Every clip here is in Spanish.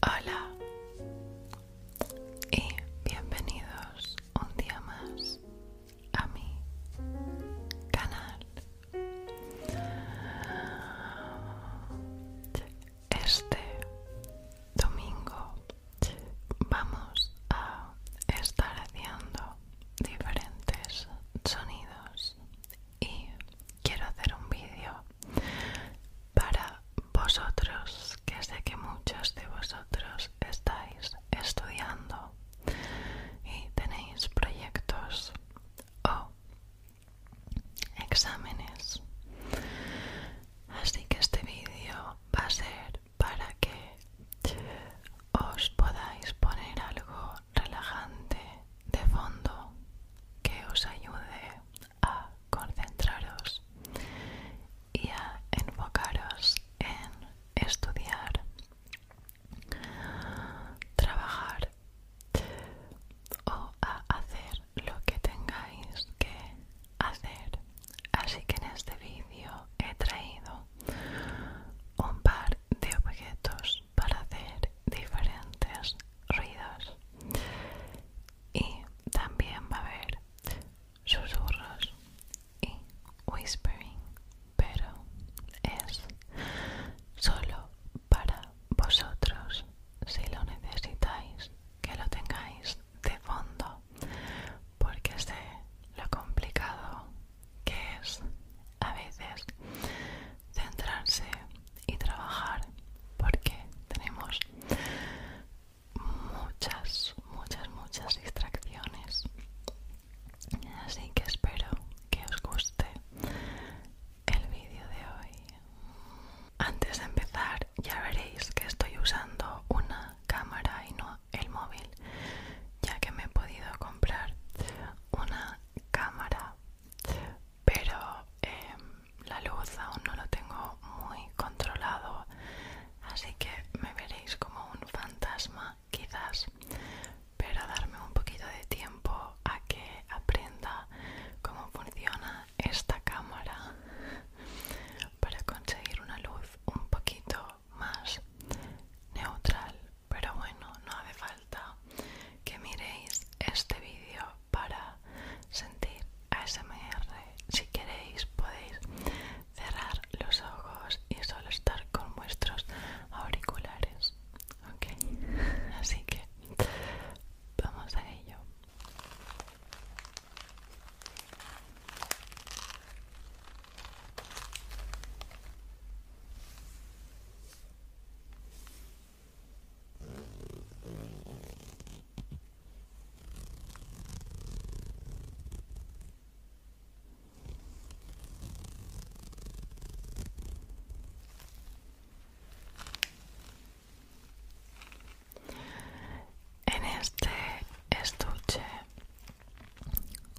Hola y bienvenidos un día más a mi canal. Este domingo vamos a estar haciendo diferentes sonidos y quiero hacer un vídeo para vosotros que sé que muchos de vosotros estáis estudiando y tenéis proyectos o exámenes así que este vídeo va a ser para que os podáis poner algo relajante de fondo que os ayude a concentraros y a enfocaros en estudiar, trabajar o a hacer lo que tengáis que hacer así que en este vídeo he traído un par de objetos para hacer diferentes ruidos y también va a haber susurros y whispering pero es solo para vosotros si lo necesitáis que lo tengáis de fondo porque sé lo complicado que es a veces centrarse y trabajar porque tenemos muchas, muchas, muchas distracciones. Así que espero que os guste el vídeo de hoy. Antes de empezar ya veréis que estoy usando una cámara y no el móvil ya que me he podido comprar una cámara pero em, la luz aún no lo tengo muy controlado así que me veréis como un fantasma quizás pero darme un poquito de tiempo a que aprenda cómo funciona esta cámara para conseguir una luz un poquito más neutral pero bueno no hace falta que miréis este vídeo para sentir ASMR si queréis podéis cerrar los ojos y solo estar con vuestros auriculares ok así que vamos a ello en este estuche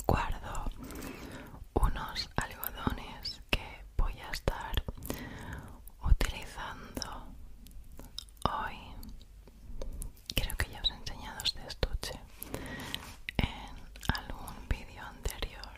guardo unos algodones que voy a estar utilizando hoy creo que ya os he enseñado este estuche en algún vídeo anterior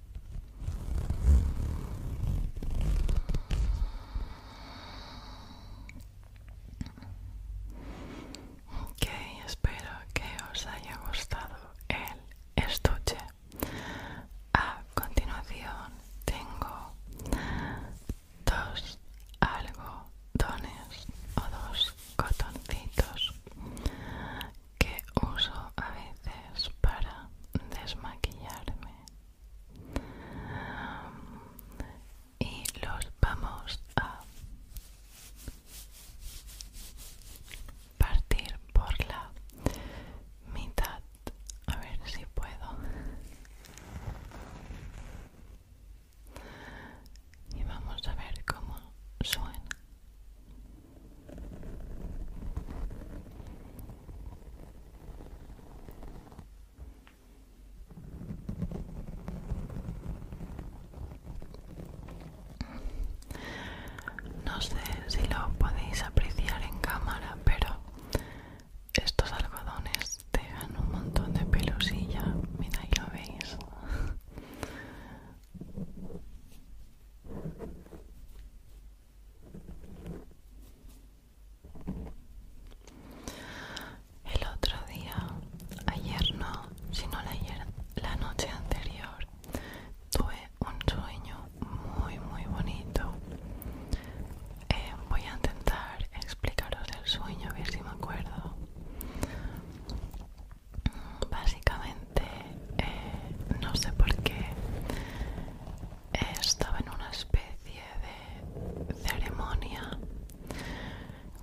Ok, espero que os haya gustado el estuche. A continuación tengo dos algodones o dos cotoncitos que uso a veces para desmaquillarme y los vamos a partir por la mitad a ver si puedo y vamos a ver cómo suena no sé si lo podéis apreciar en cámara, pero estos algodones dan un montón de pelosilla Mira, ahí lo veis. El otro día, ayer no, sino la, noche anterior, tuve un sueño muy muy bonito. Eh, voy a intentar explicaros el sueño, a ver si me acuerdo. Mm, básicamente, eh, no sé por qué estaba en una especie de ceremonia,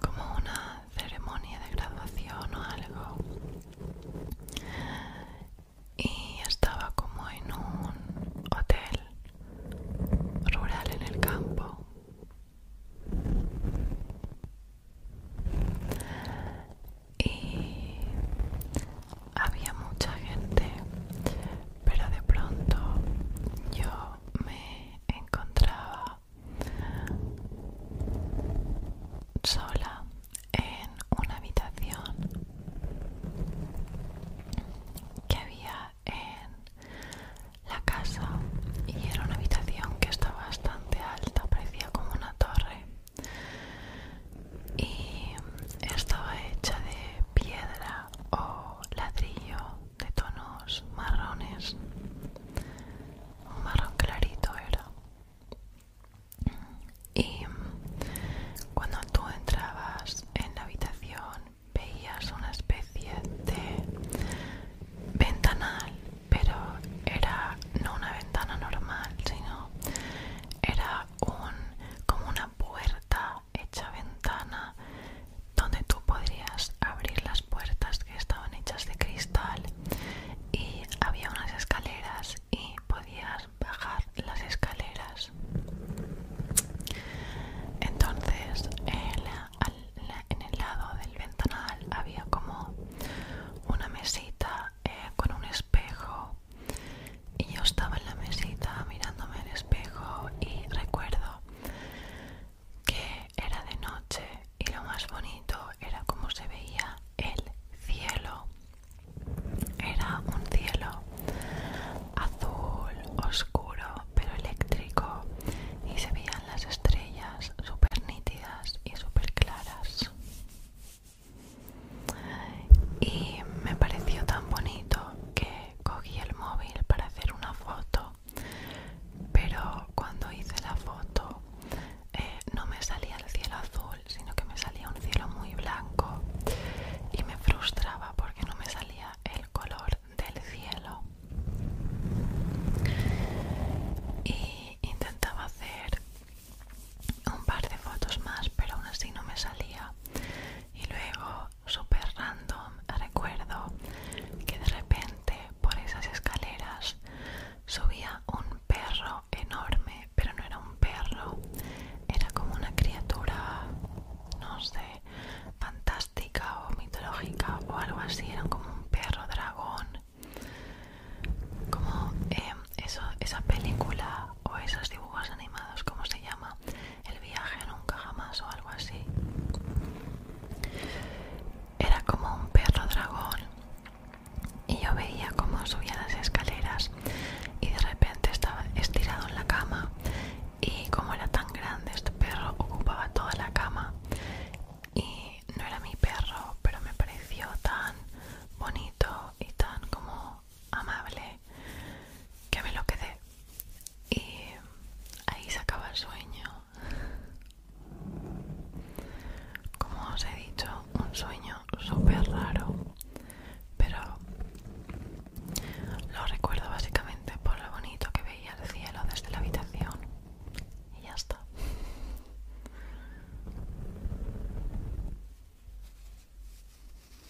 como una ceremonia de graduación o algo, y estaba como en un hotel rural en el campo. Y había mucha gente, pero de pronto yo me encontraba sola en una habitación que había en la casa y era una habitación que estaba bastante alta, parecía como una torre y estaba hecha de piedra o ladrillo de tonos marrones un marrón clarito era y cuando tú entrabas en la habitación veías una especie de ventanal pero era no una ventana normal sino era un como una puerta hecha ventana, donde tú podrías abrir las puertas que estaban hechas de cristal y había unas escaleras y podías bajar las escaleras. Entonces, en, el lado del ventanal había como una mesita eh, con un espejo y yo estaba en la mesita mirándome el espejo y recuerdo que era de noche y lo más bonito era como se veía el cielo era un cielo azul oscuro pero eléctrico y se veían las estrellas súper nítidas y súper claras y me pareció tan bonito que cogí el móvil para hacer una foto, pero cuando hice la foto eh, no me salía el cielo azul, sino que me salía un cielo muy blanco y me frustraba porque no me salía el color del cielo. Y intentaba hacer un par de fotos más, pero aún así no me salía. Y luego Super random recuerdo que de repente por esas escaleras subía un perro enorme pero no era un perro era como una criatura no sé fantástica o mitológica o algo así era como un perro dragón como em, esa película o esos dibujos animados como se llama el viaje nunca jamás o algo así. Era como un perro dragón y yo veía cómo subía las escaleras y de repente estaba estirado en la cama y como era tan grande este perro ocupaba toda la cama y no era mi perro pero me pareció tan bonito y tan como amable que me lo quedé y ahí se acaba el sueño como os he dicho un sueño súper raro pero lo recuerdo básicamente por lo bonito que veía el cielo desde la habitación y ya está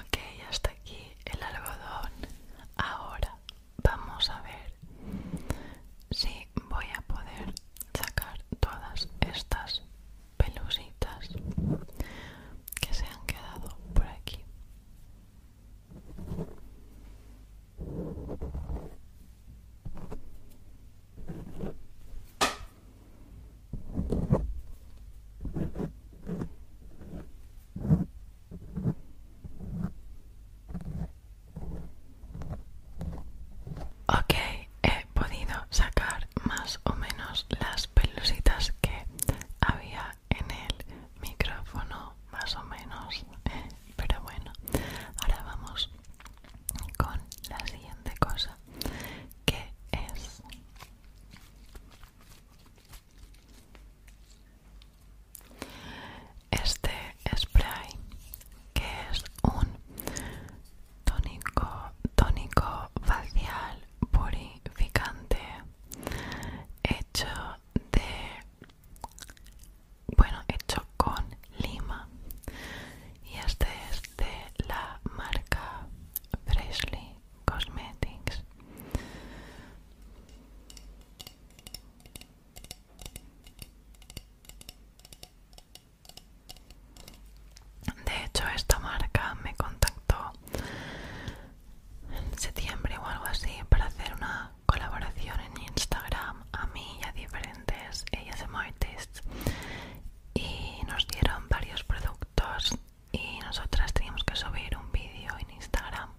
Ok, hasta aquí el algodón. Ahora vamos a ver si voy a poder sacar todas estas pelusitas que se han quedado por aquí. Ok, he podido sacar más o menos las pelusitas que había en el micrófono más o menos pero bueno ahora vamos con la siguiente cosa que es este spray que es un tónico tónico facial purificante hecho de bueno hecho con lima y este es de la marca Freshly Cosmetics de hecho esta marca me contactó en septiembre o algo así para hacer una colaboración en Instagram a mí y a diferentes ASM y nos dieron varios productos y nosotras teníamos que subir un vídeo en Instagram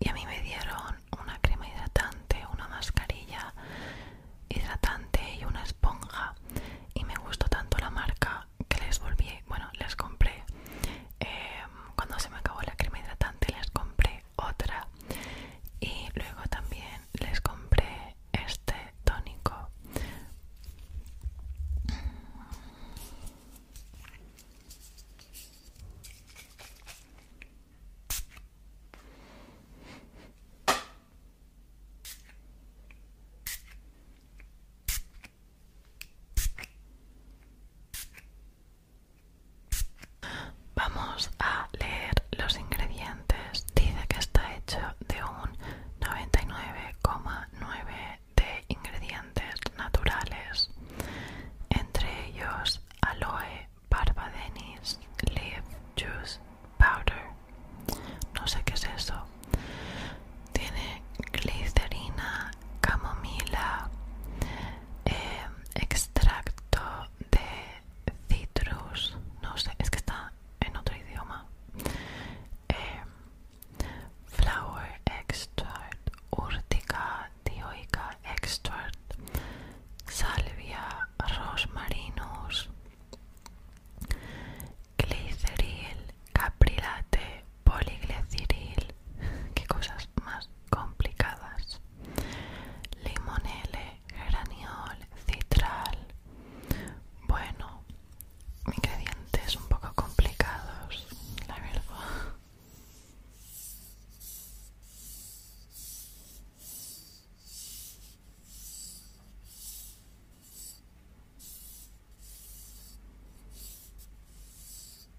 y a mí me dieron una crema hidratante, una mascarilla hidratante y una esponja y me gustó tanto la marca que les volví, bueno, les compré Em, cuando se me acabó la crema hidratante les compré otra y luego también les compré este tónico Vamos a leer los ingredientes. Dice que está hecho de un 99,9 de ingredientes naturales, entre ellos aloe, barba denis, leaf, juice, powder. No sé qué es eso. Tiene glicerina, camomila, eh, extracto de citrus no sé es que está en otro idioma eh, flower extract urtica dioica extract salvia rosmarinus gliceril caprilate poligliceril, qué cosas más complicadas limonele, geraniol, citral bueno, ingredientes un poco complicados la verdad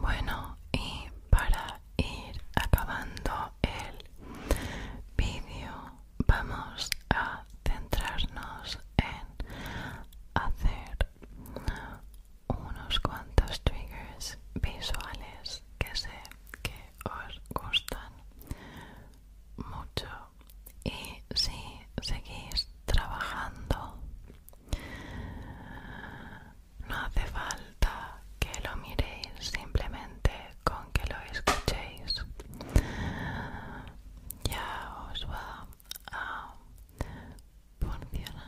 Bueno, y para ir acabando el vídeo, vamos a centrarnos en hacer unos cuantos triggers visuales que sé que os gustan mucho y si seguís trabajando no hace falta que lo miréis simplemente con que lo escuchéis ya os va a funcionar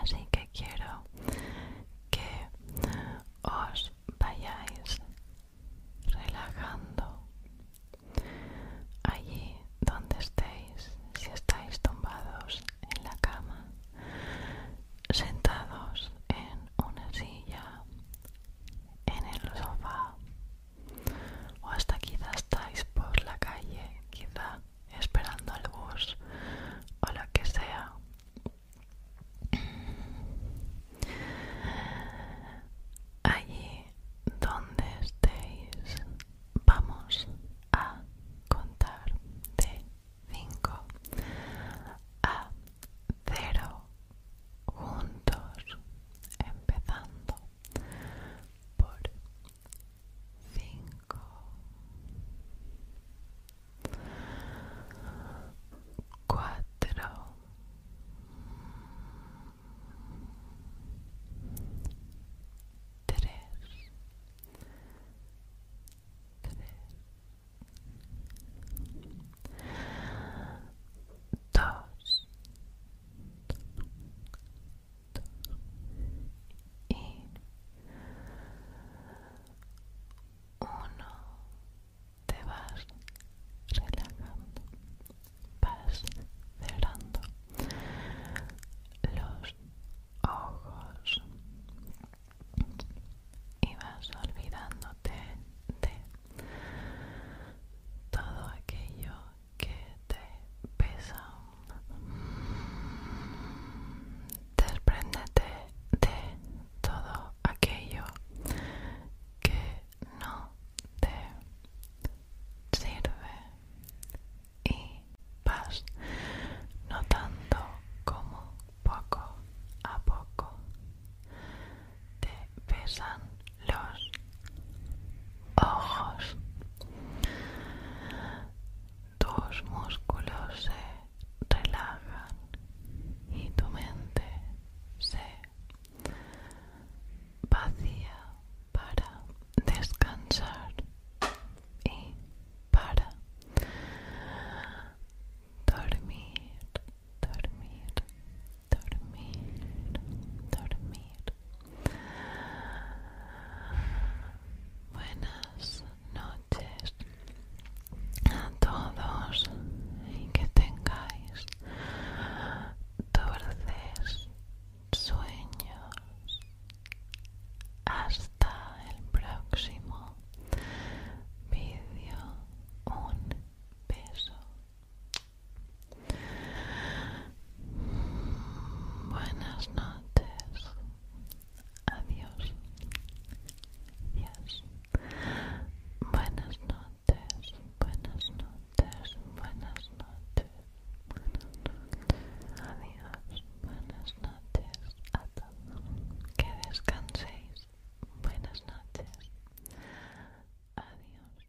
Así que quiero que os vayáis relajando allí donde estéis, si estáis tumbados en la cama, sentados en una silla, en el sofá, o hasta quizá estáis por la calle, quizá esperando al bus o lo que sea. Allí donde estéis, vamos a contar de 5 a 0 juntos, empezando por cinco, cuatro, tres, dos y uno te vas relajando vas cerrando los ojos y vas olvidándote de todo aquello que te pesa despréndete de todo aquello que no te sirve y vas notando como poco a poco te pesan los ojos tus músculos se relajan y tu mente se vacía para descansar y para dormir, dormir, dormir, dormir. Buenas noches a todos y que tengáis dulces sueños hasta el próximo vídeo un beso buenas noches Adiós. Adiós. Buenas noches. Buenas noches. Buenas noches. Buenas noches. Adiós. Buenas noches a todos. Que descanséis. Buenas noches. Adiós. Adiós.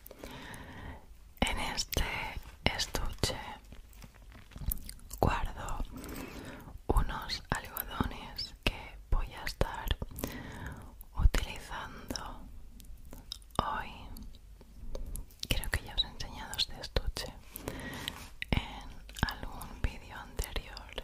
En este estuche guardo unos algodones que voy a estar utilizando hoy. Creo que ya os he enseñado este estuche en algún vídeo anterior.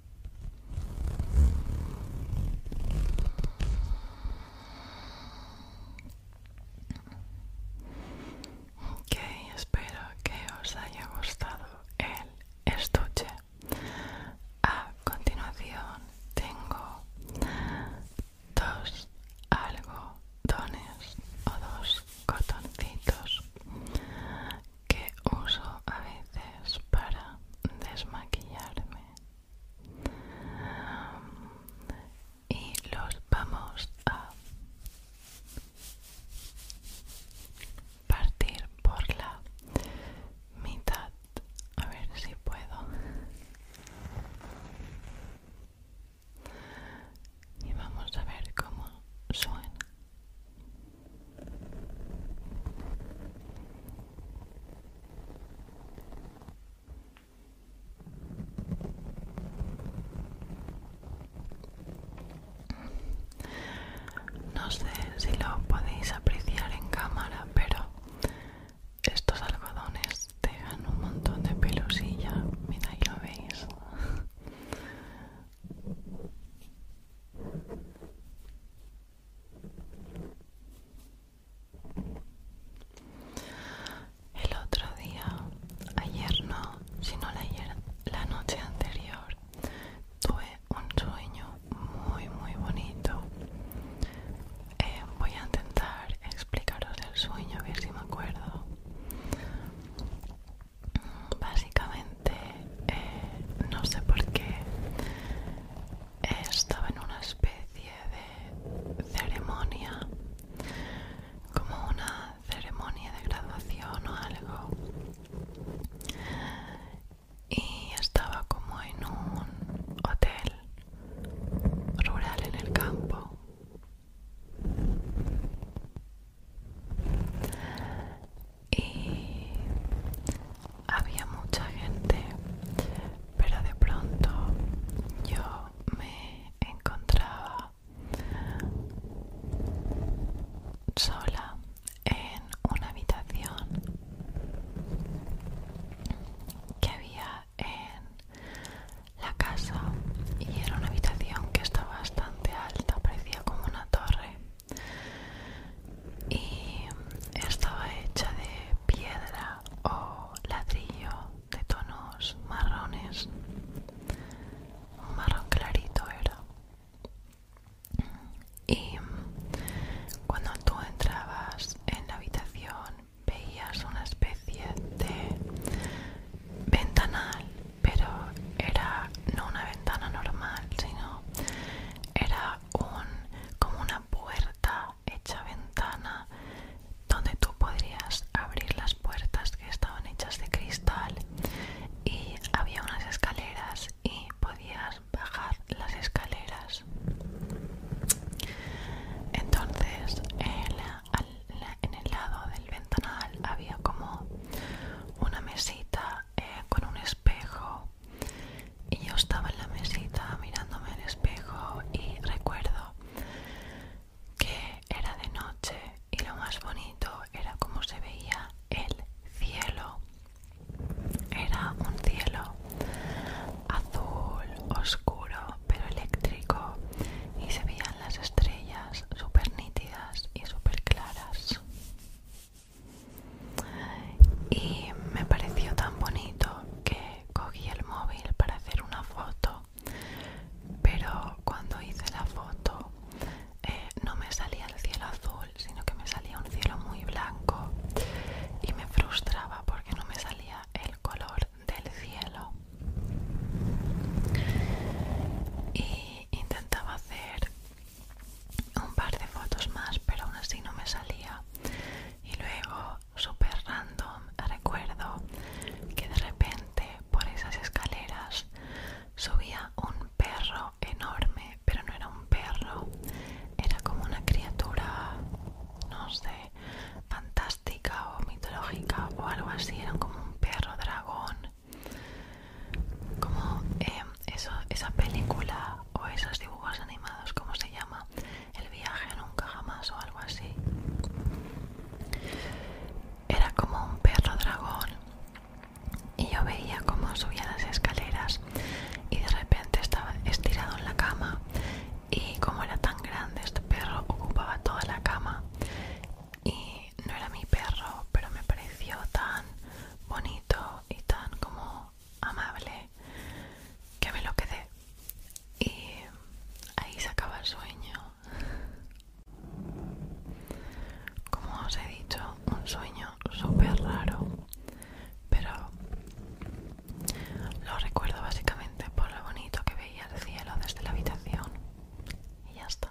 Ok, espero que os haya gustado el estuche. A continuación tengo dos algodones o dos cotoncitos que uso a veces para desmaquillarme y los vamos a partir por la mitad a ver si puedo y vamos a ver cómo suena no sé si lo podéis apreciar en cámara, pero estos algodones dan un montón de pelusilla. Mira, ahí lo veis. El otro día, ayer no, sino la, noche anterior, tuve un sueño muy muy bonito. Eh, voy a intentar explicaros el sueño, a ver si me acuerdo. Básicamente, eh, no sé por qué estaba en una especie de ceremonia, como una ceremonia de graduación o algo, y estaba como en un hotel rural en el campo. Y había mucha gente, pero de pronto yo me encontraba sola en una habitación que había en la casa y era una habitación que estaba bastante alta, parecía como una torre y estaba hecha de piedra o ladrillo de tonos marrones un marrón clarito era y cuando tú entrabas en la habitación veías una especie de ventanal pero era no una ventana normal sino era como una puerta hecha ventana donde tú podrías abrir las puertas que estaban hechas de cristal y había unas escaleras y podías bajar las escaleras entonces en el lado del ventanal había como una mesita eh, con un espejo y yo estaba en la mesita mirándome al espejo y recuerdo que era de noche y lo más bonito era cómo se veía el cielo. Era un cielo azul, oscuro, pero eléctrico y se veían las estrellas súper nítidas y súper claras y me pareció tan bonito que cogí el móvil para hacer una foto pero cuando hice la foto eh, no me salía el cielo azul sino que me salía un cielo muy blanco y me frustraba porque no me salía el color del cielo y intentaba hacer un par de fotos más pero aún así no me salía y luego super random recuerdo que de repente por esas escaleras subía un perro enorme pero no era un perro era como una criatura no sé fantástica o mitológica o algo así era como un perro dragón como eh, esa película o esos dibujos animados ¿cómo se llama el viaje nunca jamás o algo así. Era como un perro dragón y yo veía cómo subía las escaleras y de repente estaba estirado en la cama y como era tan grande este perro ocupaba toda la cama y no era mi perro pero me pareció tan bonito y tan como amable que me lo quedé y ahí se acaba el sueño como os he dicho un sueño súper raro pero lo recuerdo básicamente por lo bonito que veía el cielo desde la habitación y ya está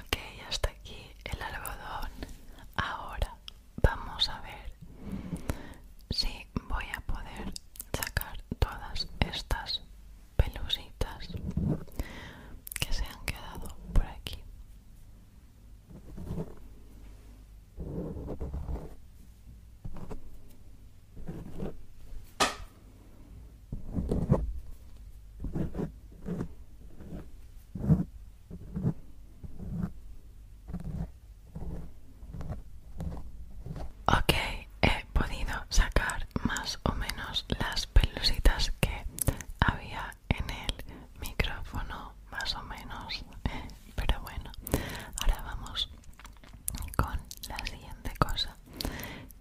Ok, hasta aquí el algodón. Ahora vamos a ver si voy a poder sacar todas estas pelusitas que se han quedado por aquí. Ok, he podido sacar más o menos las pelusitas que había en el micrófono más o menos pero bueno ahora vamos con la siguiente cosa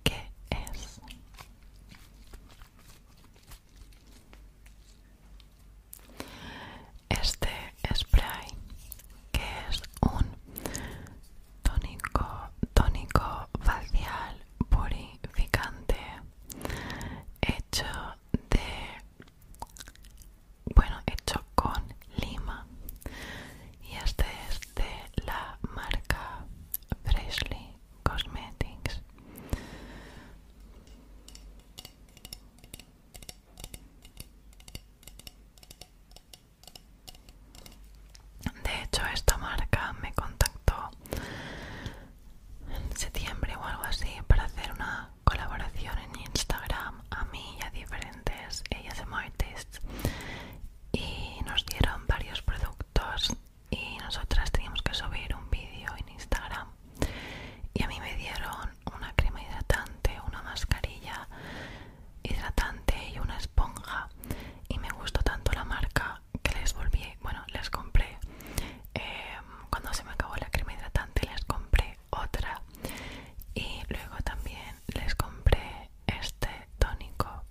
que es este spray que es un tónico tónico facial purificante hecho de bueno hecho con lima y este es de la marca Freshly Cosmetics de hecho esta marca me contactó en septiembre o algo así para hacer una colaboración en Instagram a mí y a diferentes ASM artists y nos dieron varios productos y nosotras teníamos que subir un vídeo en Instagram y a mí me dieron una crema hidratante, una mascarilla hidratante y una esponja y me gustó tanto la marca que les volví, bueno, les compré Em, cuando se me acabó la crema hidratante les compré otra y luego también les compré este tónico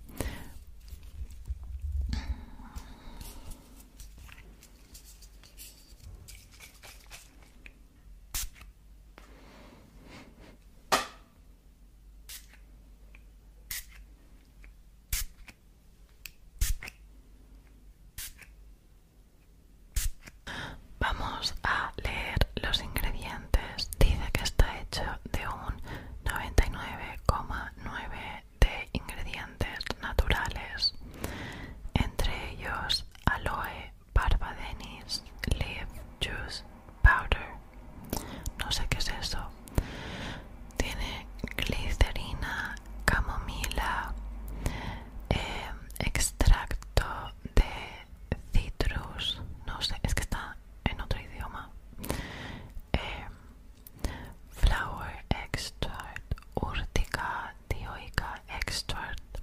Vamos a leer los ingredientes. Dice que está hecho de un 99,9 de ingredientes naturales, entre ellos aloe, barbadenis, leaf juice powder. No sé qué es eso. Tiene glicerina, camomila, eh, extracto de citrus no sé es que está en otro idioma eh, flower extract urtica dioica extract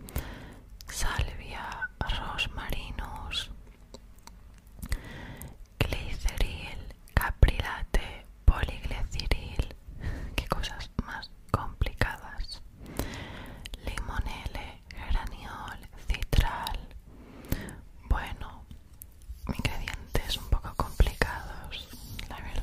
salvia rosmarinus gliceril caprilate poligleciril, qué cosas más complicadas, limonele, geraniol, citral. Bueno, ingredientes un poco complicados, la verdad.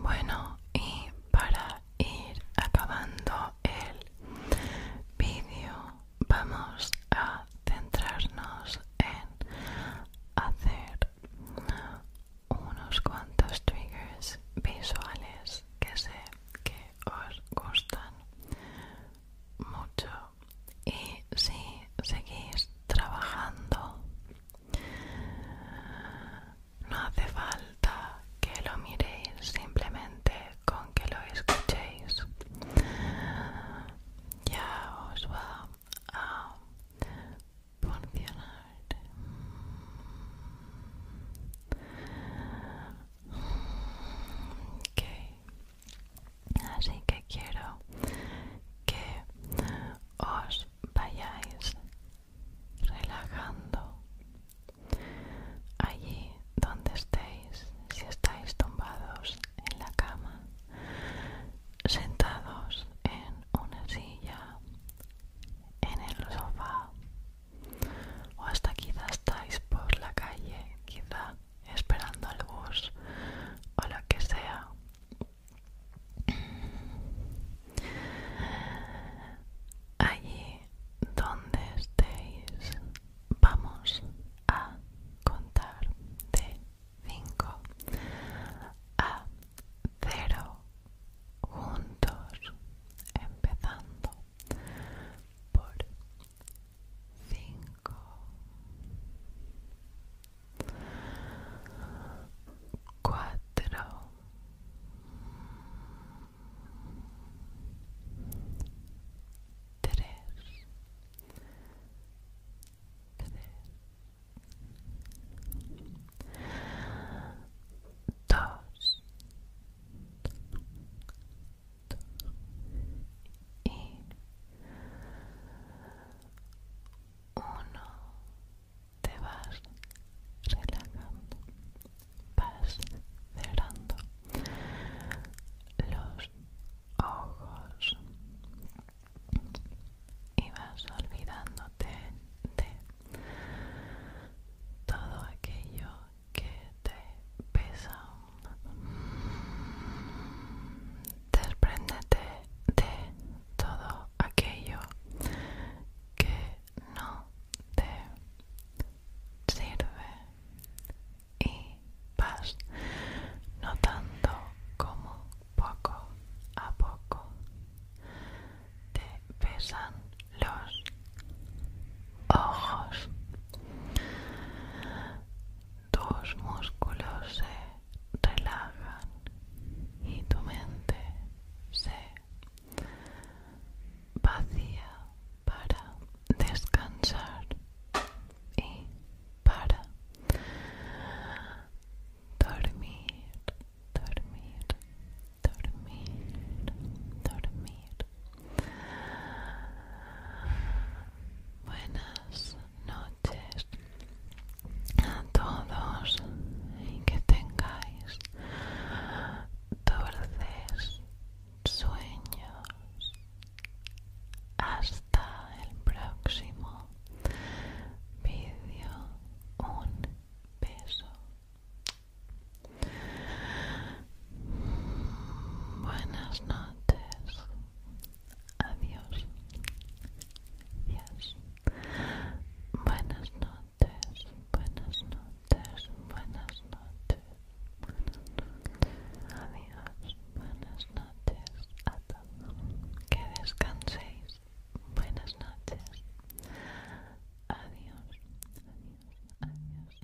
Bueno, y para ir acabando el vídeo, vamos a centrarnos en hacer unos cuantos triggers visuales que sé que os gustan mucho y si seguís trabajando no hace falta que lo miréis simplemente con que lo escuchéis ya os va a funcionar Así que quiero que os vayáis relajando allí donde estéis, si estáis tumbados en la cama, sentados en una silla, en el sofá, o hasta quizá estáis por la calle, quizá esperando al bus o lo que sea. Allí donde estéis, vamos a contar de 5 a 0 juntos, empezando por cinco cuatro dos y uno te vas relajando vas cerrando los ojos y vas olvidándote de todo aquello que te pesan Despréndete de todo aquello que no te sirve y vas notando como poco a poco te pesan los ojos tus músculos se relajan y tu mente se vacía para descansar y para dormir, dormir, dormir, dormir. Buenas noches a todos y que tengáis dulces sueños. Hasta el próximo vídeo. Un beso. Buenas noches. Adiós. Adiós Buenas noches, buenas noches, buenas noches. Adiós, buenas noches a todos. Que descanséis. Buenas noches. adiós, adiós. adiós.